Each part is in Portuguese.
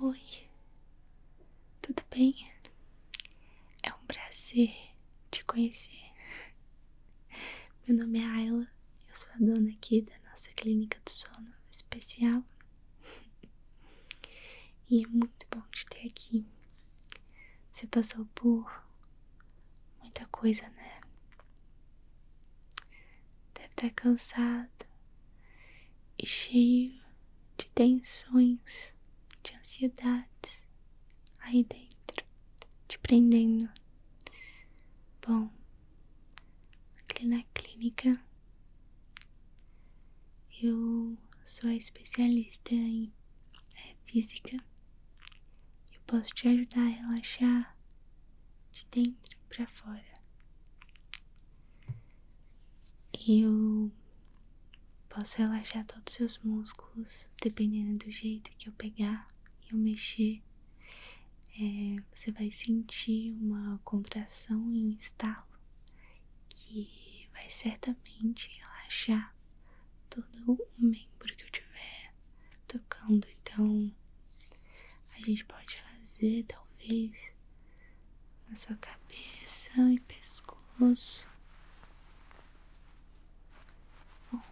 Oi, tudo bem? É um prazer te conhecer. Meu nome é Ayla, eu sou a dona aqui da nossa clínica do sono especial. E é muito bom te ter aqui. Você passou por muita coisa, né? deve estar tá cansado e cheio de tensões, de ansiedades aí dentro, te prendendo. Bom, aqui na clínica eu sou especialista em é, física. Eu posso te ajudar a relaxar, de dentro para fora. Eu posso relaxar todos os seus músculos, dependendo do jeito que eu pegar e eu mexer. É, você vai sentir uma contração e um estalo que vai certamente relaxar todo o membro que eu tiver tocando. Então, a gente pode fazer, talvez, na sua cabeça e pescoço,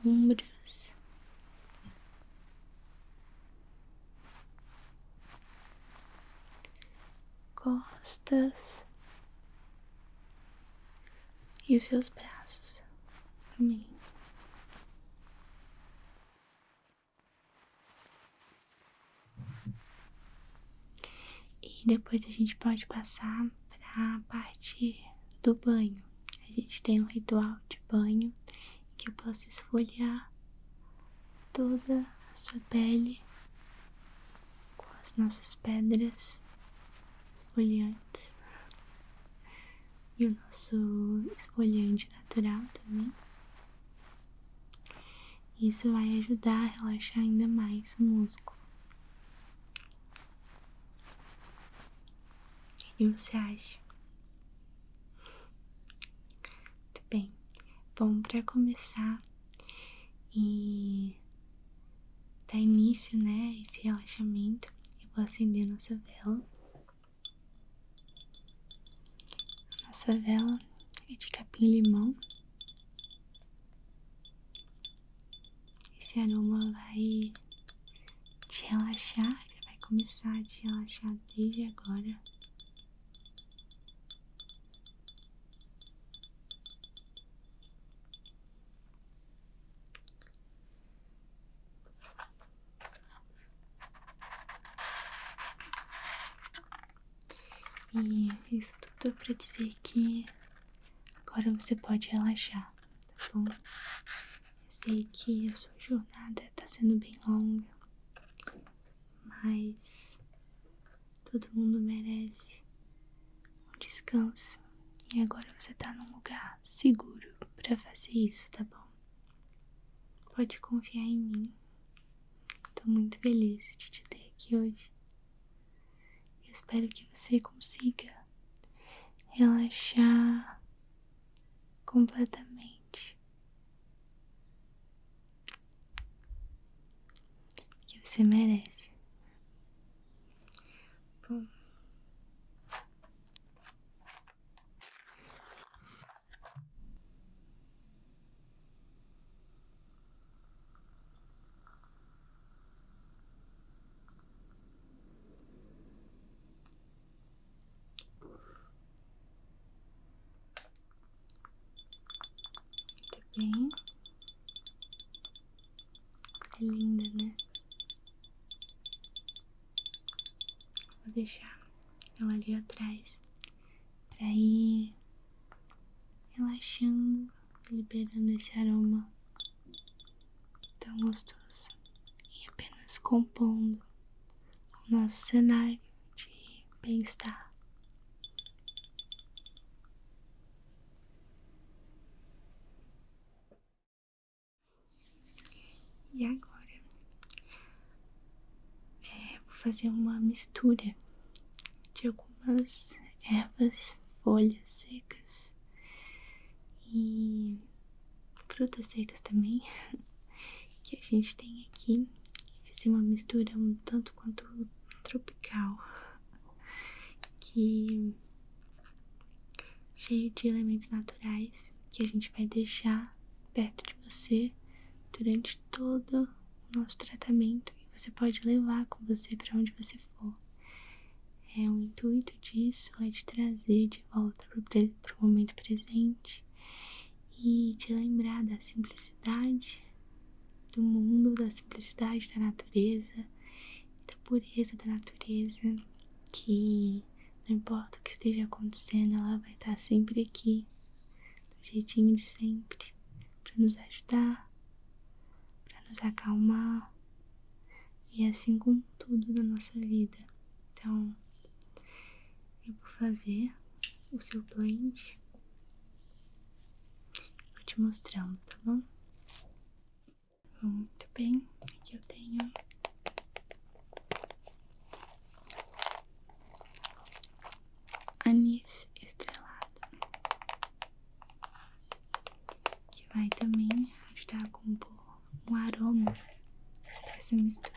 ombros. Costas e os seus braços também. E depois a gente pode passar para a parte do banho. A gente tem um ritual de banho que eu posso esfoliar toda a sua pele com as nossas pedras esfoliantes e o nosso esfoliante natural também. Isso vai ajudar a relaxar ainda mais o músculo. E você acha? Muito bem. Bom, para começar e dar início, né, esse relaxamento, eu vou acender nossa vela. Nossa vela é de capim-limão. Esse aroma vai te relaxar, já vai começar a te relaxar desde agora. E isso tudo é pra dizer que agora você pode relaxar, tá bom? Eu sei que a sua jornada tá sendo bem longa, mas todo mundo merece um descanso. E agora você tá num lugar seguro para fazer isso, tá bom? Pode confiar em mim. Tô muito feliz de te ter aqui hoje. espero que você consiga relaxar completamente. Que você merece. Bom. Muito tá bem. É linda, né? Vou deixar ela ali atrás para ir relaxando, liberando esse aroma tão gostoso e apenas compondo o nosso cenário de bem-estar. E agora é, vou fazer uma mistura de algumas ervas, folhas secas e frutas secas também que a gente tem aqui. Vai ser uma mistura um tanto quanto tropical que cheio de elementos naturais que a gente vai deixar perto de você durante todo o nosso tratamento e você pode levar com você para onde você for. É, o intuito disso é te trazer de volta para o momento presente e te lembrar da simplicidade do mundo, da simplicidade da natureza, da pureza da natureza que não importa o que esteja acontecendo, ela vai estar sempre aqui, do jeitinho de sempre, para nos ajudar, para nos acalmar. E assim com tudo da nossa vida. Então, eu vou fazer o seu blend. Vou te mostrando, tá bom? Muito bem, aqui eu tenho anis estrelado, que vai também ajudar com um, um aroma dessa mistura.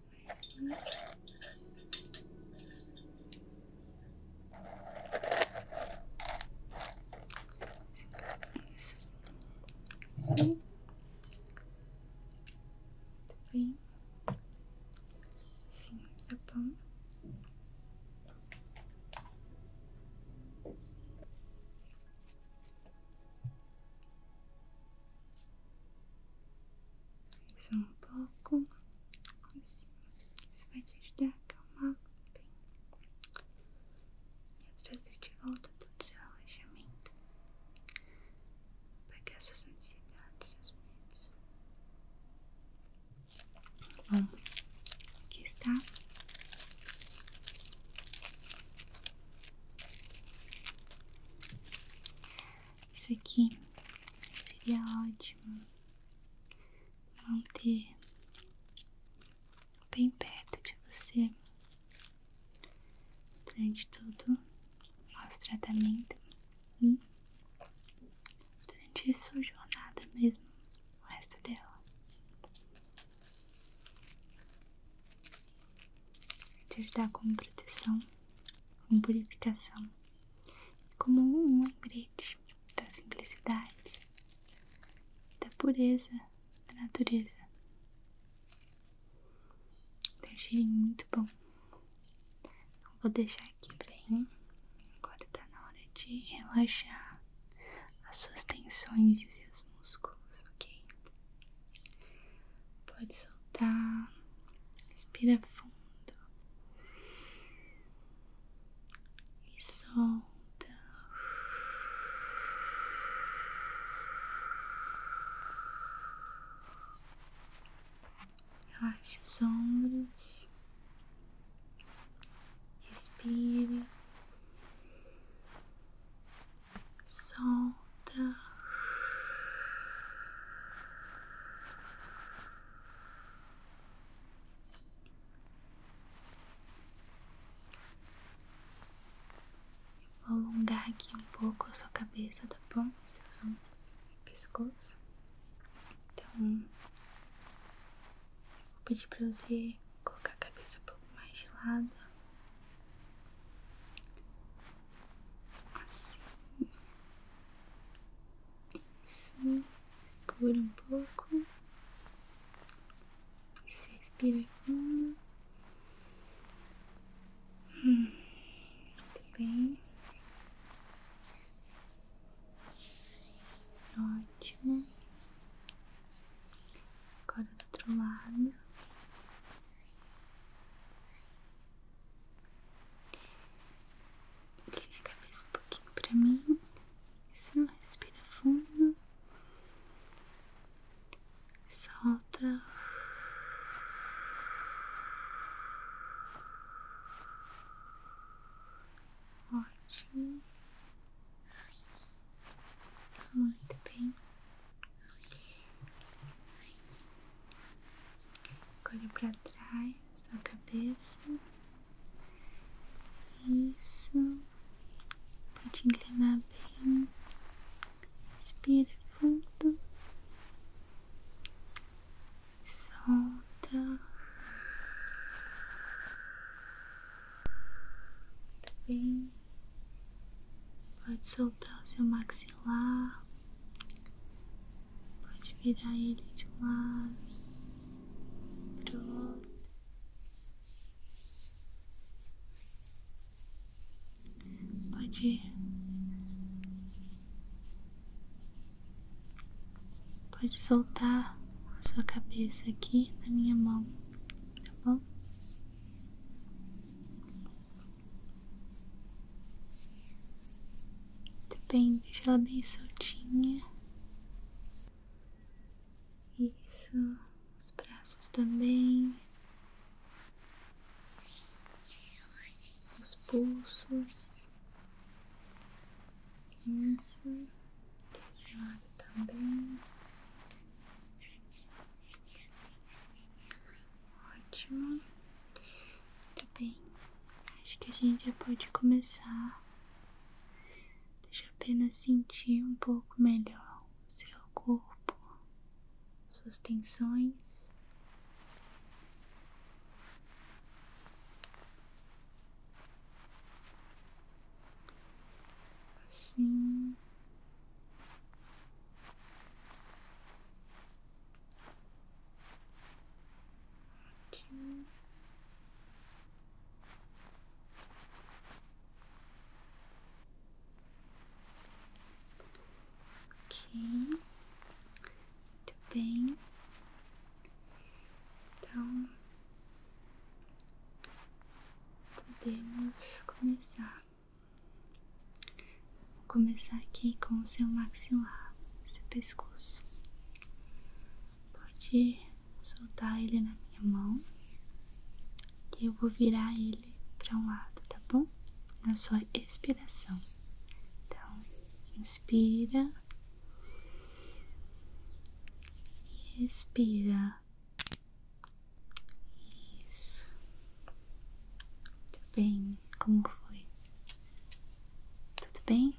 umas coisinhas. Isso. Sim. Tá bem? Sim, tá bom. Só um pouco, assim, isso vai te ajudar a acalmar bem e trazer de volta todo o seu para apagar suas ansiedades, seus medos. Bom, aqui está. Isso aqui seria ótimo manter bem perto de você durante todo o nosso tratamento e durante a sua jornada mesmo, o resto dela. Vai te ajudar como proteção, como purificação, como um lembrete da simplicidade, da pureza da natureza. Tem muito bom. Vou deixar aqui bem. Agora tá na hora de relaxar as suas tensões e os seus músculos, ok? Pode soltar. Respira fundo. E solta. Relaxe os ombros. Respire solta. Eu vou alongar aqui um pouco a sua cabeça, tá bom? Seus ombros e pescoço. Então, vou pedir pra você colocar a cabeça um pouco mais de lado. Assim. Isso. Segura um pouco. Você respira fundo. muito bem. Ótimo. Agora do outro lado. Inclina a cabeça um pouquinho pra mim. Isso, respira fundo. Solta. Ótimo. Muito bem. Colhe para trás, sua cabeça. Isso. Pode inclinar bem. Respira fundo. Solta. Tá bem. Pode soltar o seu maxilar, pode virar ele de um lado para outro. Pode, pode soltar a sua cabeça aqui na minha mão, tá bom? Muito bem, deixa ela bem soltinha. Isso, os braços também. Os pulsos. Isso, desse lado também. Ótimo. Muito tá bem. Acho que a gente já pode começar. Deixa apenas sentir um pouco melhor o seu corpo, suas tensões. Assim. Ótimo. Ok, muito bem. Então podemos começar. Vou começar aqui com o seu maxilar, seu pescoço. Pode soltar ele na minha mão e eu vou virar ele para um lado, tá bom? Na sua expiração. Então, inspira e expira. Isso. Muito bem, como foi? Tudo bem?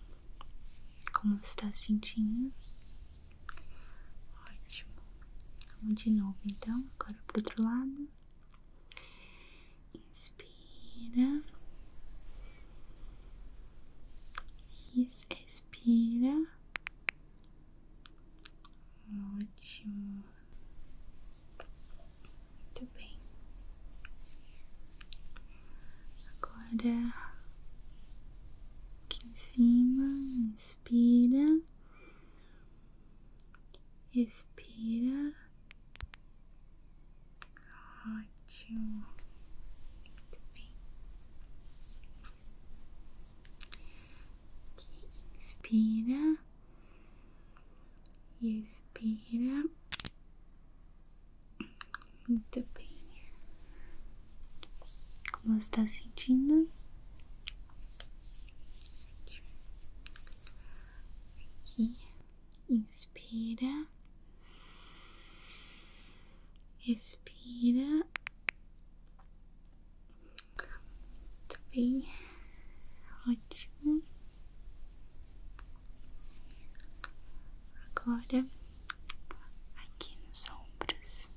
Como você está se sentindo? Ótimo. Vamos de novo então, agora pro outro lado. Inspira. Isso, expira. Ótimo. Muito bem. Agora aqui em cima, inspira, expira. Ótimo. Muito bem. Aqui, inspira expira. Muito bem. Como você está sentindo? Aqui, inspira, expira. Muito bem, ótimo. Agora aqui nos ombros.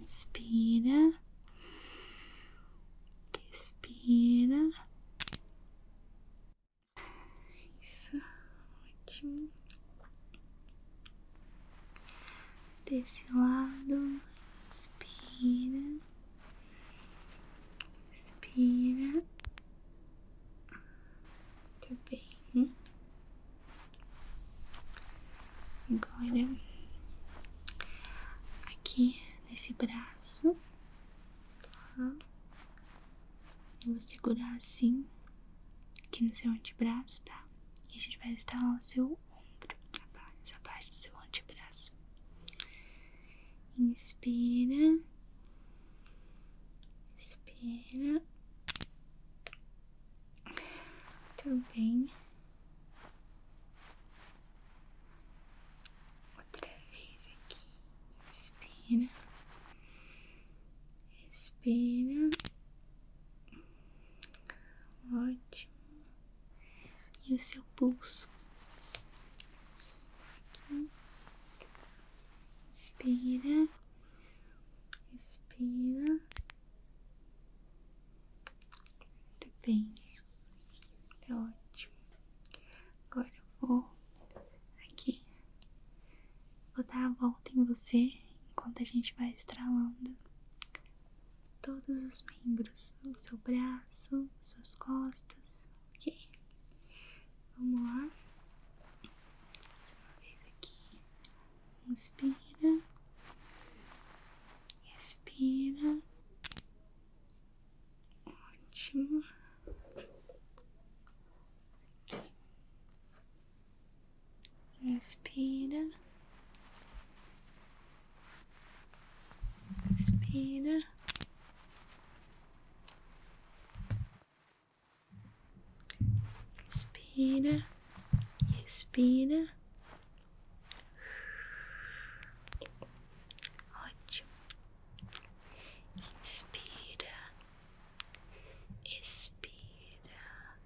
Inspira, expira. Isso, ótimo desse lado, inspira, inspira muito bem. Agora, aqui nesse braço, eu vou segurar assim, aqui no seu antebraço, tá? E a gente vai instalar o seu seu ombro, apenas abaixo do seu antebraço. Inspira, inspira Muito bem. Outra vez aqui. Inspira, inspira Ótimo. E o seu pulso? Aqui. Inspira. Inspira. Muito bem. É ótimo. Agora eu vou aqui. Vou dar a volta em você enquanto a gente vai estralando todos os membros, o seu braço, suas costas, ok? Vamos lá, mais uma vez aqui, inspira, expira, ótimo. Aqui. Inspira, expira, inspira e expira. Ótimo. Inspira, expira.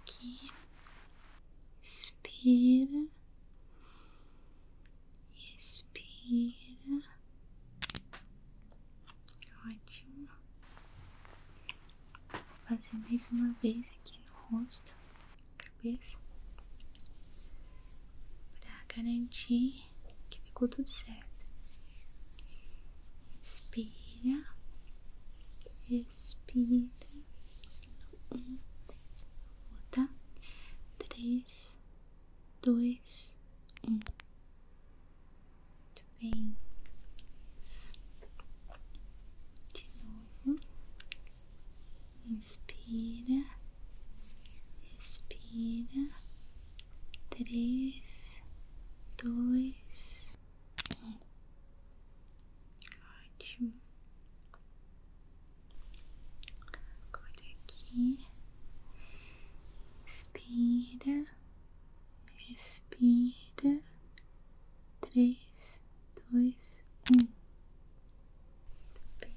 Aqui. expira, Expira. Ótimo. Vou fazer mais uma vez aqui no rosto, cabeça, para garantir que ficou tudo certo. Inspira, expira. Um, volta. Três, dois, um. Muito bem. De novo. Inspira, expira. Três, dois, Ótimo. Agora aqui. Inspira. Respira. Três, dois, um. Tá bem.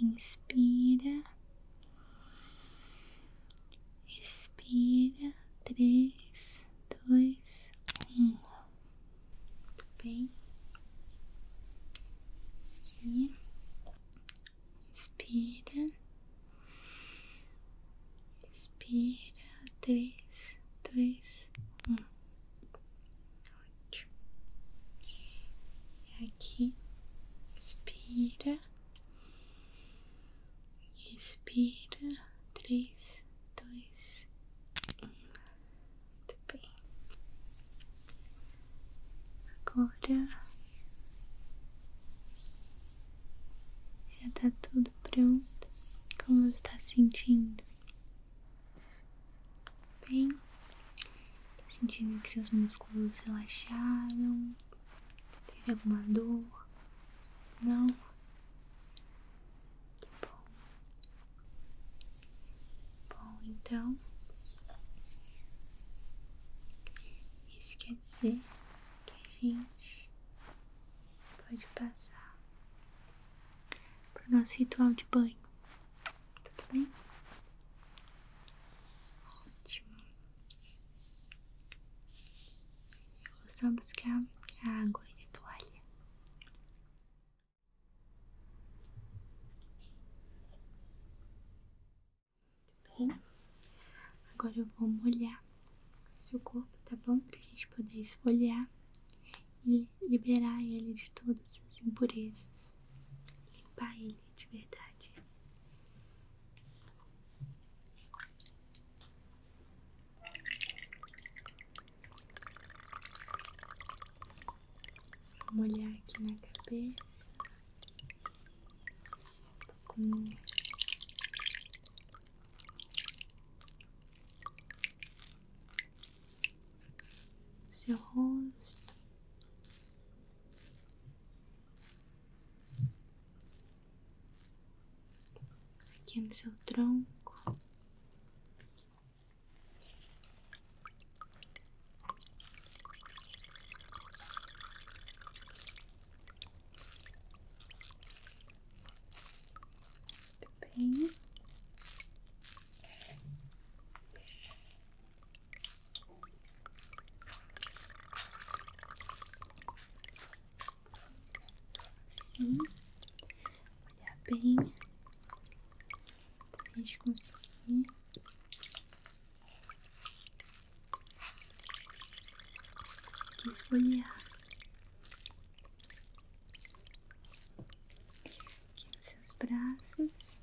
Inspira expira três, dois, um. Tá bem? Aqui. expira expira Três, dois, um. Ótimo. E aqui. expira Respira. Três, dois, um. Muito bem. Agora já tá tudo pronto. Como está sentindo? Bem, tá sentindo que seus músculos relaxaram? Teve alguma dor? Não? Que bom. Bom, então. Isso quer dizer que a gente pode passar pro nosso ritual de banho. Tudo bem? Ótimo. Eu vou só buscar a água e a toalha. Muito bem. Agora eu vou molhar seu corpo, tá bom? Pra gente poder esfoliar e liberar ele de todas as impurezas. Limpar ele de verdade. molhar aqui na cabeça com seu rosto aqui no seu tronco. Muito bem. Hum. olhar bem pra gente conseguir. Que esfoliar aqui nos seus braços.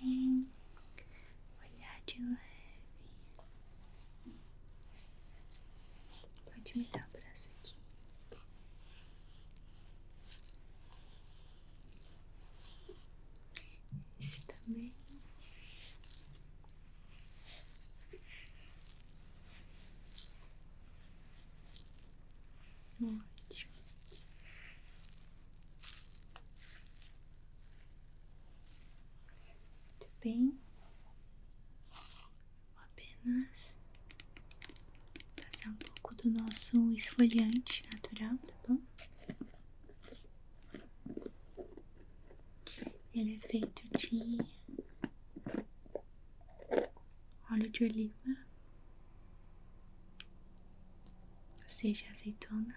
Bem, olhar de leve. Pode me dar o braço aqui. Esse também. Ótimo. Muito bem, vou apenas passar um pouco do nosso esfoliante natural, tá bom? Ele é feito de óleo de oliva seja, azeitona. Né?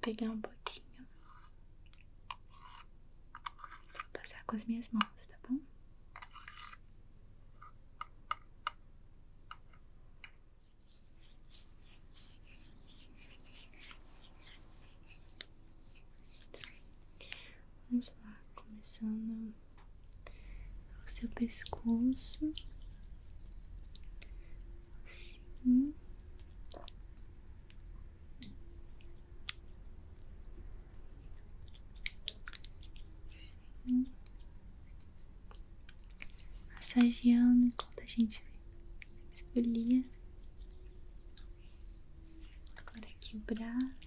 pegar um pouquinho. passar com as minhas mãos, tá bom? Vamos lá, começando o seu pescoço, assim, assim, massageando enquanto a gente esfolia. Agora aqui o braço.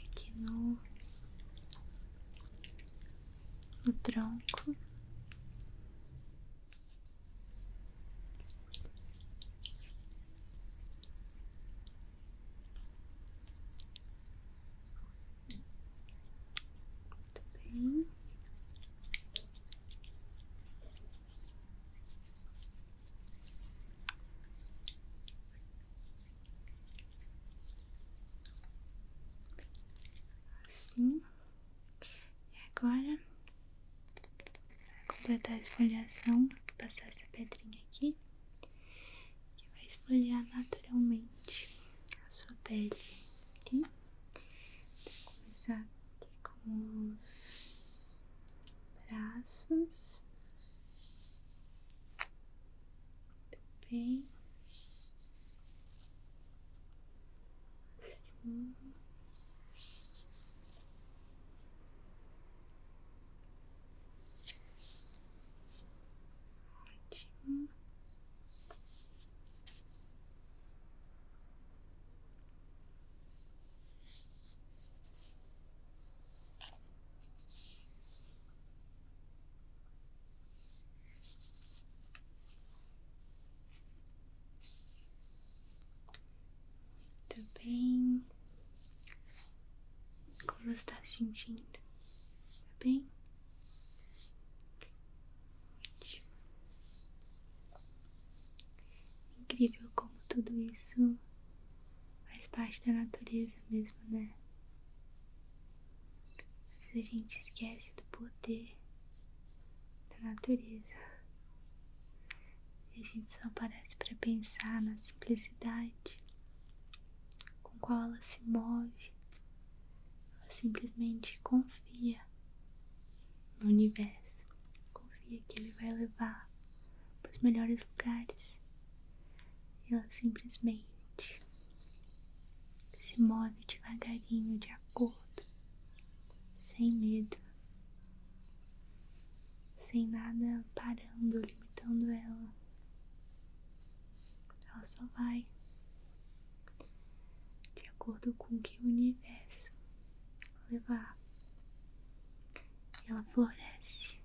E que no, tronco. Muito bem. Assim. E agora, completar a esfoliação, vou passar essa pedrinha aqui, que vai esfoliar naturalmente a sua pele. Aqui. Vou começar aqui com os braços, bem, assim, ótimo. Muito bem. Como está sentindo? Tá bem? Incrível como tudo isso faz parte da natureza mesmo, né? Às vezes a gente esquece do poder da natureza. E a gente só parece para pensar na simplicidade com qual ela se move. Ela simplesmente confia no universo. Confia que ele vai levar para os melhores lugares. E ela simplesmente se move devagarinho, de acordo, sem medo, sem nada parando, limitando ela. Ela só vai de acordo com o que o universo levar. E ela floresce,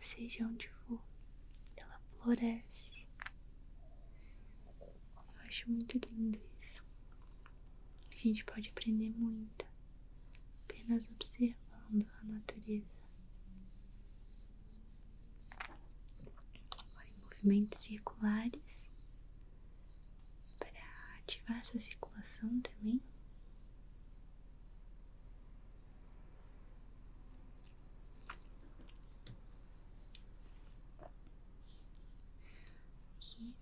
seja onde for, ela floresce. Eu acho muito lindo isso. A gente pode aprender muito apenas observando a natureza. em movimentos circulares, para ativar a sua circulação também. Aqui.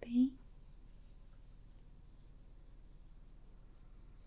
bem.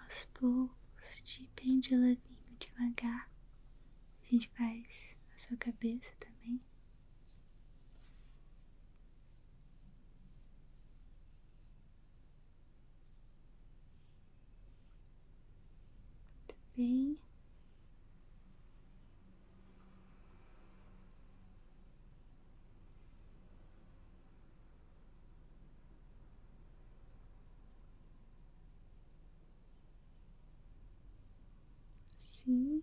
Aos poucos, de bem de levinho, devagar, a gente faz a sua cabeça também bem. Sim.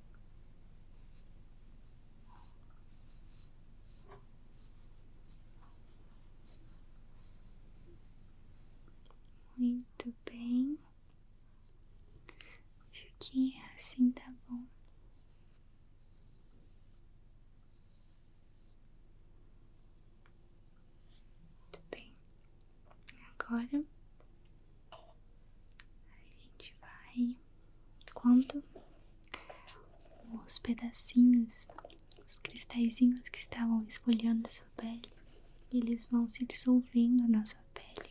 Muito bem. Acho que assim tá bom. Muito bem. Agora a gente vai quando os pedacinhos, os cristalzinhos que estavam esfolhando a sua pele, eles vão se dissolvendo na sua pele,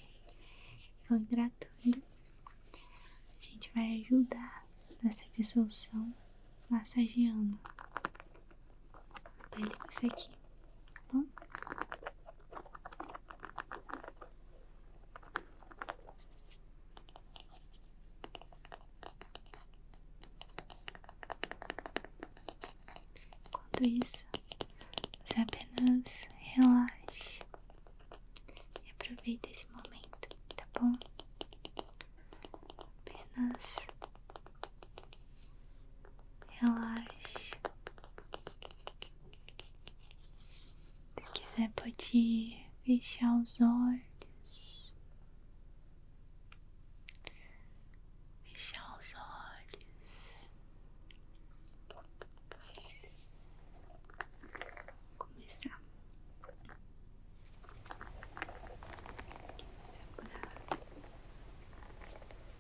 vão hidratando. A gente vai ajudar nessa dissolução massageando a pele com isso aqui aqui, bom? Enquanto isso, você apenas relaxe e aproveita esse momento, tá bom? Apenas relaxe se quiser, pode fechar os olhos. Fechar os olhos. Começar. Seu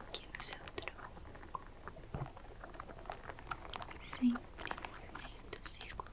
Aqui no seu tronco, sempre movimento circular.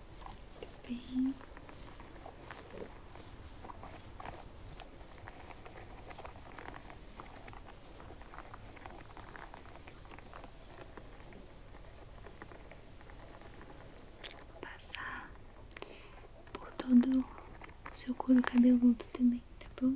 Muito bem. passar por todo o seu couro cabeludo também, tá bom?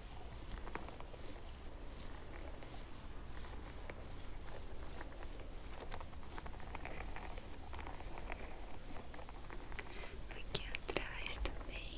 Aqui atrás também.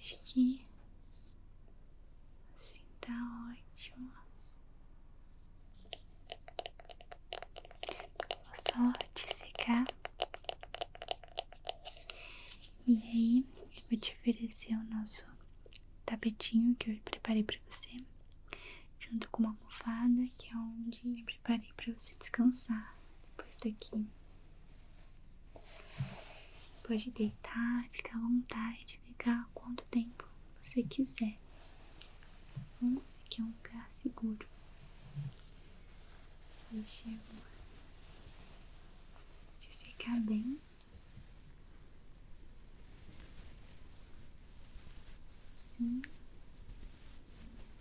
Acho que assim tá ótimo. Vou só te secar. E aí, eu vou te oferecer o nosso tapetinho que eu preparei pra você, junto com uma almofada, que é onde preparei para você descansar depois daqui. Pode deitar, ficar à vontade, ficar quanto tempo você quiser. Bom, hum, aqui é um lugar seguro. Deixa eu te secar bem. Sim.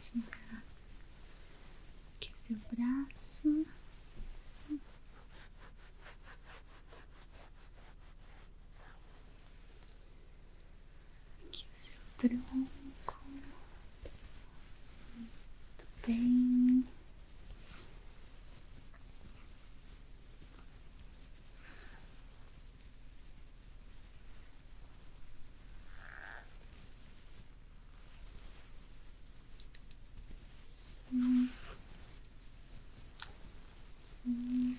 Tirar aqui seu braço. Aqui seu tronco. Muito bem. Sim. Sim.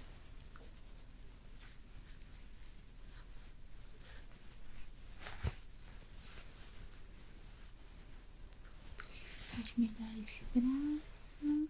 Pode me dar esse braço.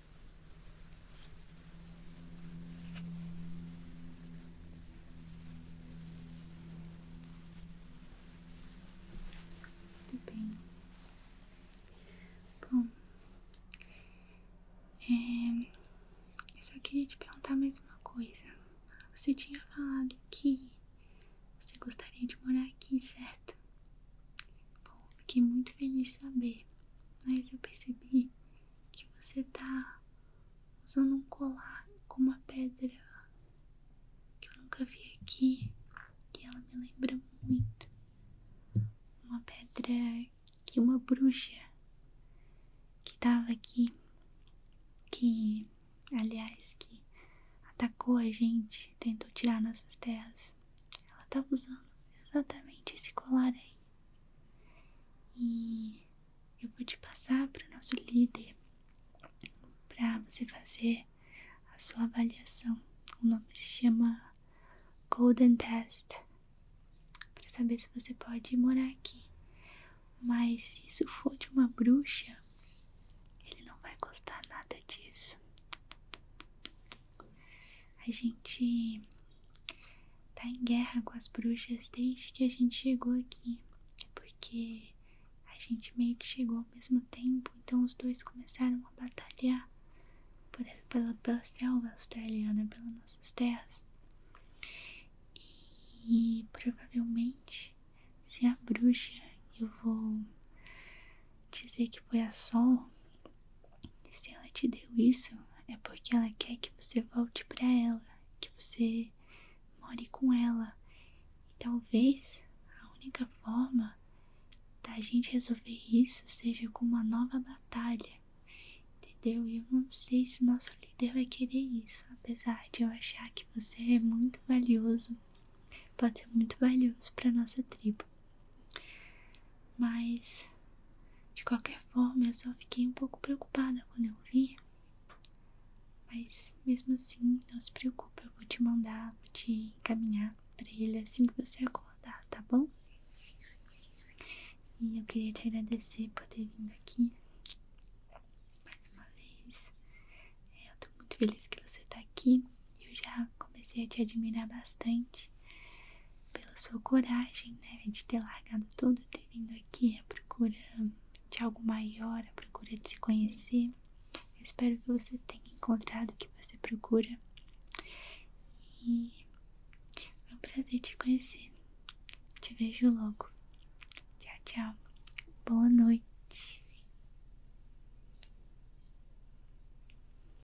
tudo bem. Bom, é, eu só queria te perguntar mais uma coisa. Você tinha falado que você gostaria de morar aqui, certo? Bom, fiquei muito feliz de saber, mas eu percebi que você tá usando um colar com uma pedra que eu nunca vi aqui que ela me lembra muito uma pedra que uma bruxa que tava aqui que aliás que atacou a gente tentou tirar nossas terras ela tava usando exatamente esse colar aí e eu vou te passar para o nosso líder para você fazer a sua avaliação. O nome se chama Golden Test para saber se você pode morar aqui. Mas se isso for de uma bruxa, ele não vai gostar nada disso. A gente tá em guerra com as bruxas desde que a gente chegou aqui, porque a gente meio que chegou ao mesmo tempo, então os dois começaram a batalhar por, pela, pela selva australiana, pelas nossas terras. E provavelmente, se a bruxa, eu vou dizer que foi a Sol, se ela te deu isso, é porque ela quer que você volte para ela, que você more com ela. E talvez a única forma da gente resolver isso seja com uma nova batalha. Entendeu? E eu não sei se nosso líder vai querer isso, apesar de eu achar que você é muito valioso. Pode ser muito valioso para nossa tribo. Mas, de qualquer forma, eu só fiquei um pouco preocupada quando eu vi. Mas, mesmo assim, não se preocupe, eu vou te mandar, vou te encaminhar pra ele assim que você acordar, tá bom? E eu queria te agradecer por ter vindo aqui mais uma vez. É, eu tô muito feliz que você tá aqui. Eu já comecei a te admirar bastante pela sua coragem, né, de ter largado tudo, ter vindo aqui à procura de algo maior, à procura de se conhecer. espero que você tenha encontrado o que você procura. E é um prazer te conhecer. Te vejo logo. Tchau, tchau. Boa noite.